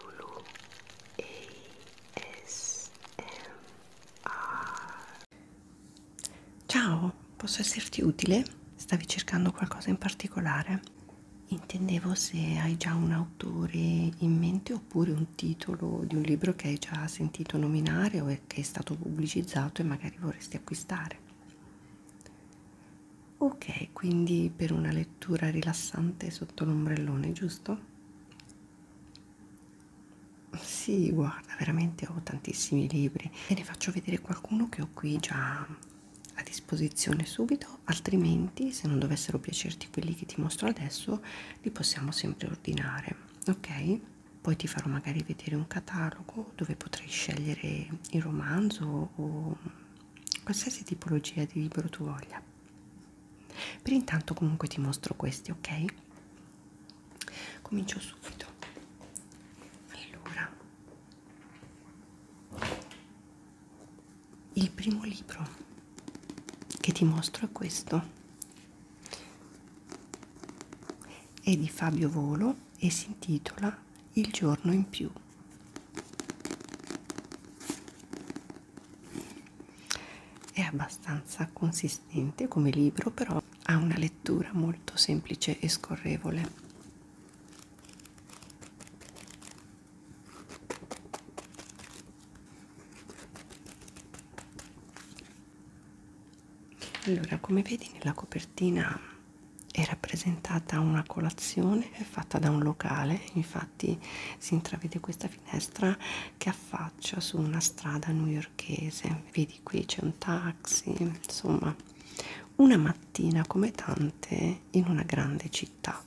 Lulu ASMR Ciao, posso esserti utile? Stavi cercando qualcosa in particolare? Intendevo se hai già un autore in mente oppure un titolo di un libro che hai già sentito nominare o che è stato pubblicizzato e magari vorresti acquistare. Ok, quindi per una lettura rilassante sotto l'ombrellone, giusto? Sì, guarda, veramente ho tantissimi libri. Ve ne faccio vedere qualcuno che ho qui già a disposizione subito, altrimenti se non dovessero piacerti quelli che ti mostro adesso, li possiamo sempre ordinare, ok? Poi ti farò magari vedere un catalogo dove potrai scegliere il romanzo o qualsiasi tipologia di libro tu voglia per intanto comunque ti mostro questi ok comincio subito allora il primo libro che ti mostro è questo è di Fabio Volo e si intitola Il giorno in più è abbastanza consistente come libro però ha una lettura molto semplice e scorrevole allora come vedi nella copertina è rappresentata una colazione fatta da un locale infatti infatti si intravede questa finestra che affaccia su una strada newyorchese vedi qui c'è un taxi insomma una mattina come tante in una grande città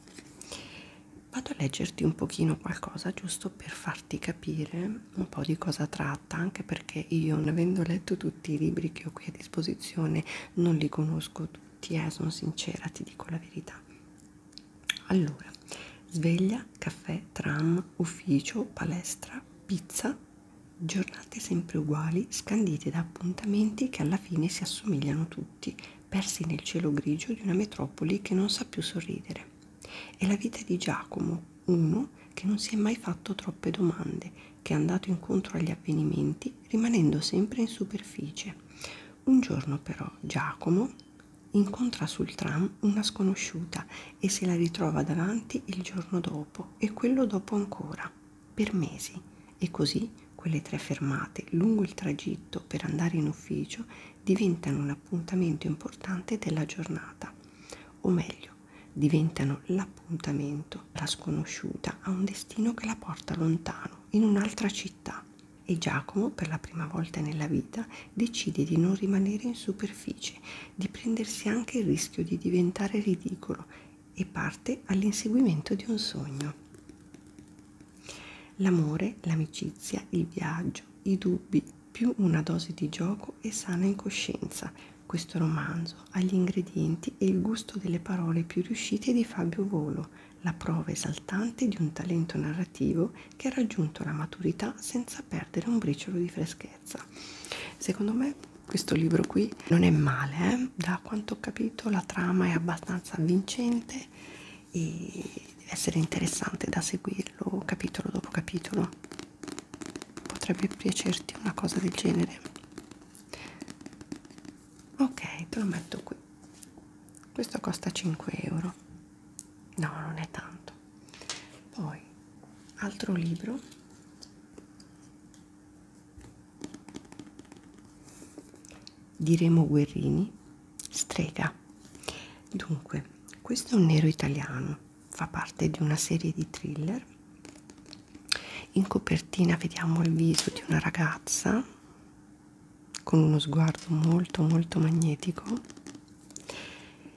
vado a leggerti un pochino qualcosa giusto per farti capire un po' di cosa tratta anche perché io non avendo letto tutti i libri che ho qui a disposizione non li conosco tutti eh, sono sincera ti dico la verità allora sveglia caffè tram ufficio palestra pizza giornate sempre uguali scandite da appuntamenti che alla fine si assomigliano tutti persi nel cielo grigio di una metropoli che non sa più sorridere è la vita di Giacomo uno che non si è mai fatto troppe domande che è andato incontro agli avvenimenti rimanendo sempre in superficie un giorno però Giacomo incontra sul tram una sconosciuta e se la ritrova davanti il giorno dopo e quello dopo ancora, per mesi. E così quelle tre fermate lungo il tragitto per andare in ufficio diventano un appuntamento importante della giornata. O meglio, diventano l'appuntamento. La sconosciuta ha un destino che la porta lontano, in un'altra città e Giacomo, per la prima volta nella vita, decide di non rimanere in superficie, di prendersi anche il rischio di diventare ridicolo e parte all'inseguimento di un sogno. L'amore, l'amicizia, il viaggio, i dubbi, più una dose di gioco e sana incoscienza. Questo romanzo ha gli ingredienti e il gusto delle parole più riuscite di Fabio Volo, la prova esaltante di un talento narrativo che ha raggiunto la maturità senza perdere un briciolo di freschezza. Secondo me questo libro qui non è male, eh? da quanto ho capito la trama è abbastanza avvincente e deve essere interessante da seguirlo capitolo dopo capitolo. Potrebbe piacerti una cosa del genere. Ok, te lo metto qui questo costa 5 euro no non è tanto poi altro libro di Remo Guerrini strega dunque questo è un nero italiano fa parte di una serie di thriller in copertina vediamo il viso di una ragazza con uno sguardo molto molto magnetico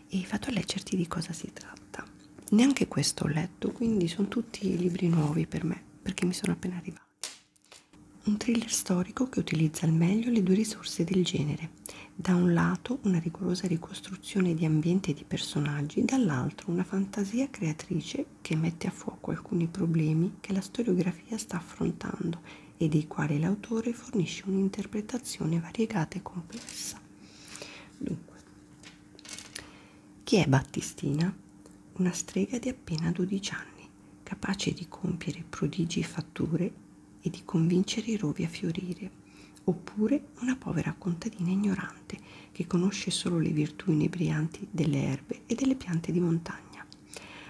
e vado a leggerti di cosa si tratta. Neanche questo ho letto, quindi sono tutti libri nuovi per me, perché mi sono appena arrivati. Un thriller storico che utilizza al meglio le due risorse del genere. Da un lato una rigorosa ricostruzione di ambienti e di personaggi, dall'altro una fantasia creatrice che mette a fuoco alcuni problemi che la storiografia sta affrontando e dei quali l'autore fornisce un'interpretazione variegata e complessa. Dunque, chi è Battistina? Una strega di appena 12 anni, capace di compiere prodigi e fatture e di convincere i rovi a fiorire, oppure una povera contadina ignorante che conosce solo le virtù inebrianti delle erbe e delle piante di montagna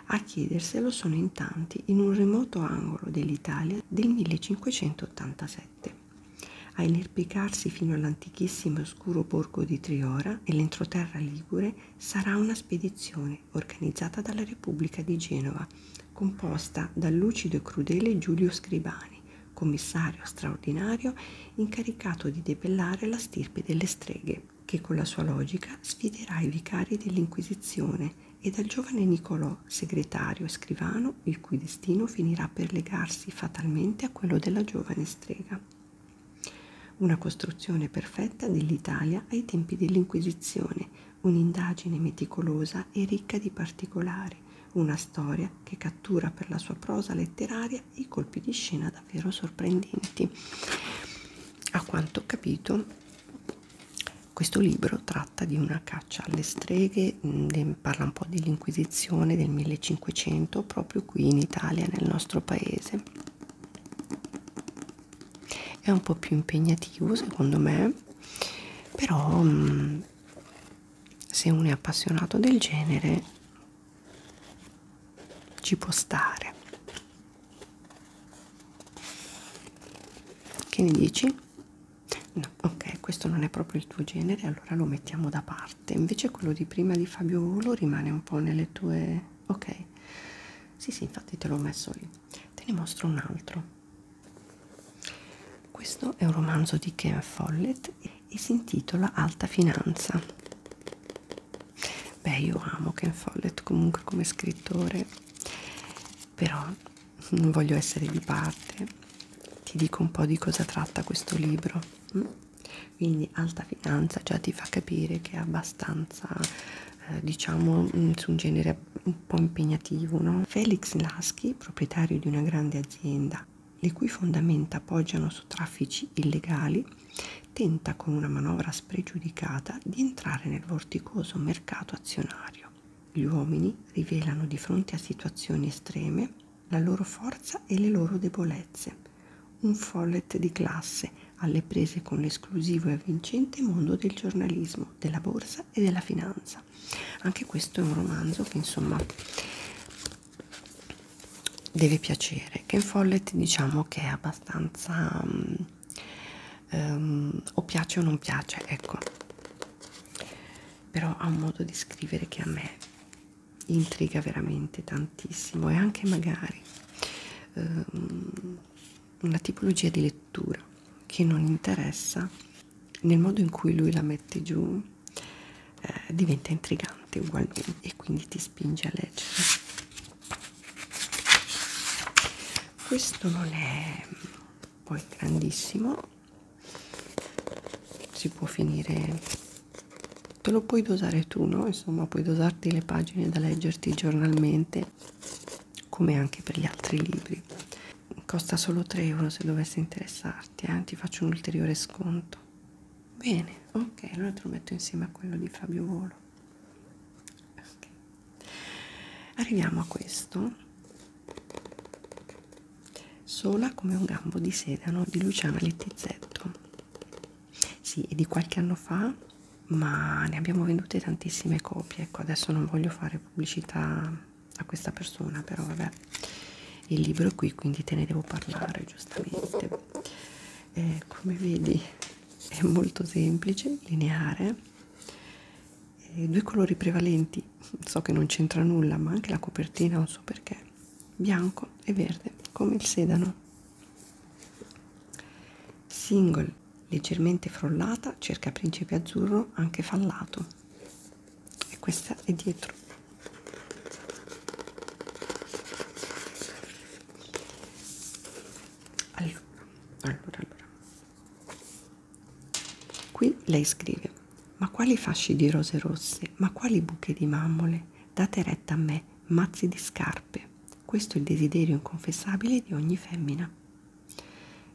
a chiederselo sono in tanti in un remoto angolo dell'Italia del 1587. A inerpicarsi fino all'antichissimo e oscuro borgo di Triora e l'entroterra Ligure sarà una spedizione organizzata dalla Repubblica di Genova, composta dal lucido e crudele Giulio Scribani, commissario straordinario incaricato di debellare la stirpe delle streghe che con la sua logica sfiderà i vicari dell'Inquisizione e dal giovane Nicolò, segretario e scrivano, il cui destino finirà per legarsi fatalmente a quello della giovane strega. Una costruzione perfetta dell'Italia ai tempi dell'Inquisizione, un'indagine meticolosa e ricca di particolari, una storia che cattura per la sua prosa letteraria i colpi di scena davvero sorprendenti. A quanto ho capito, questo libro tratta di una caccia alle streghe, mh, mm, parla un po' dell'Inquisizione del 1500 proprio qui in Italia, nel nostro paese. È un po' più impegnativo secondo me, però mh, mm, se uno è appassionato del genere ci può stare che ne dici? No, ok, questo non è proprio il tuo genere, allora lo mettiamo da parte. Invece quello di prima di Fabio Volo rimane un po' nelle tue... ok. Sì, sì, infatti te l'ho messo lì. Te ne mostro un altro. Questo è un romanzo di Ken Follett e si intitola Alta Finanza beh io amo Ken Follett comunque come scrittore però non voglio essere di parte ti dico un po' di cosa tratta questo libro mm? quindi alta finanza già ti fa capire che è abbastanza eh, diciamo mm, su un genere un po' impegnativo no? Felix Lasky proprietario di una grande azienda le cui fondamenta appoggiano su traffici illegali tenta con una manovra spregiudicata di entrare nel vorticoso mercato azionario. Gli uomini rivelano di fronte a situazioni estreme la loro forza e le loro debolezze. Un follet di classe alle prese con l'esclusivo e avvincente mondo del giornalismo, della borsa e della finanza. Anche questo è un romanzo che insomma deve piacere. Ken Follett diciamo che è abbastanza um, ehm, o piace o non piace, ecco. Però ha un modo di scrivere che a me intriga veramente tantissimo e anche magari ehm, una tipologia di lettura che non interessa nel modo in cui lui la mette giù eh, diventa intrigante ugualmente e quindi ti spinge a leggere questo non è poi grandissimo si può finire te lo puoi dosare tu no insomma puoi dosarti le pagine da leggerti giornalmente come anche per gli altri libri costa solo 3 euro se dovesse interessarti eh? ti faccio un ulteriore sconto bene ok allora te lo metto insieme a quello di Fabio Volo okay arriviamo a questo sola come un gambo di sedano di Luciana Littizzetto sì è di qualche anno fa ma ne abbiamo vendute tantissime copie ecco adesso non voglio fare pubblicità a questa persona però vabbè il libro è qui quindi te ne devo parlare giustamente eh, come vedi è molto semplice lineare i due colori prevalenti so che non c'entra nulla ma anche la copertina non so perché bianco e verde come il sedano single leggermente frollata cerca principe azzurro anche fallato e questa è dietro allora allora allora Qui lei scrive: Ma quali fasci di rose rosse, ma quali buche di mammole, date retta a me, mazzi di scarpe. Questo è il desiderio inconfessabile di ogni femmina.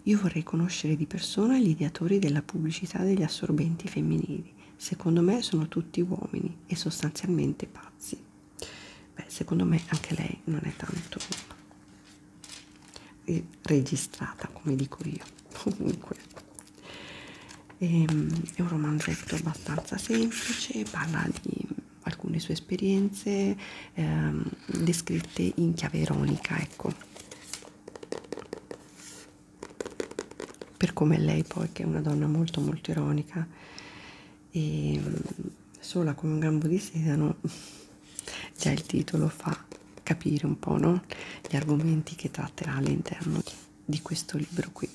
Io vorrei conoscere di persona gli ideatori della pubblicità degli assorbenti femminili. Secondo me sono tutti uomini e sostanzialmente pazzi. Beh, secondo me anche lei non è tanto registrata come dico io comunque e, ehm, è un romanzetto abbastanza semplice parla di alcune sue esperienze ehm, descritte in chiave ironica ecco per come lei poi che è una donna molto molto ironica e ehm, sola come un gambo di sedano già il titolo fa capire un po' no? gli argomenti che tratterà all'interno di questo libro qui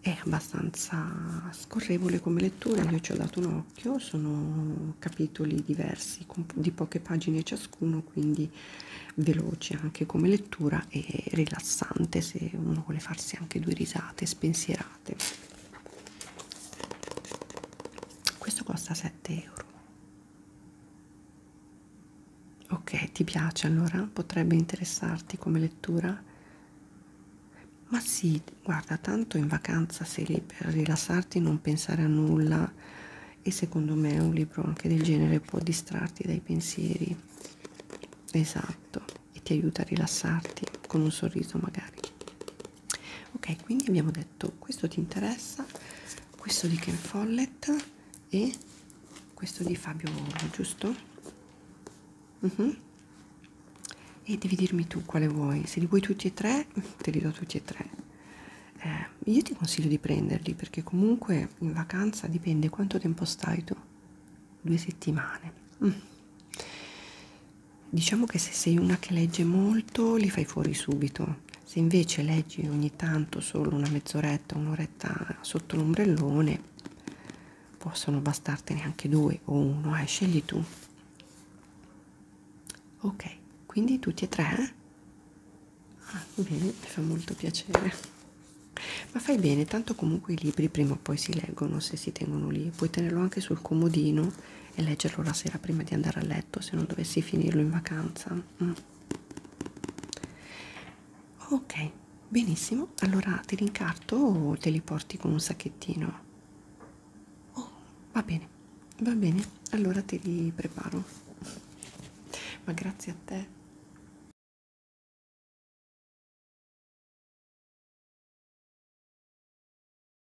è abbastanza scorrevole come lettura io ci ho dato un occhio sono capitoli diversi di poche pagine ciascuno quindi veloce anche come lettura e rilassante se uno vuole farsi anche due risate spensierate estate questo costa 7 euro ok ti piace allora potrebbe interessarti come lettura ma sì guarda tanto in vacanza sei lì per rilassarti non pensare a nulla e secondo me un libro anche del genere può distrarti dai pensieri esatto e ti aiuta a rilassarti con un sorriso magari ok quindi abbiamo detto questo ti interessa questo di Ken Follett e questo di Fabio giusto? Uh mhm. -huh. e devi dirmi tu quale vuoi se li vuoi tutti e tre te li do tutti e tre eh, io ti consiglio di prenderli perché comunque in vacanza dipende quanto tempo stai tu due settimane mm diciamo che se sei una che legge molto li fai fuori subito se invece leggi ogni tanto solo una mezz'oretta un'oretta sotto l'ombrellone possono bastartene anche due o uno eh scegli tu ok quindi tutti e tre eh? ah, bene mi fa molto piacere ma fai bene tanto comunque i libri prima o poi si leggono se si tengono lì puoi tenerlo anche sul comodino e leggerlo la sera prima di andare a letto se non dovessi finirlo in vacanza mm. ok benissimo allora te li incarto o te li porti con un sacchettino oh, va bene va bene allora te li preparo ma grazie a te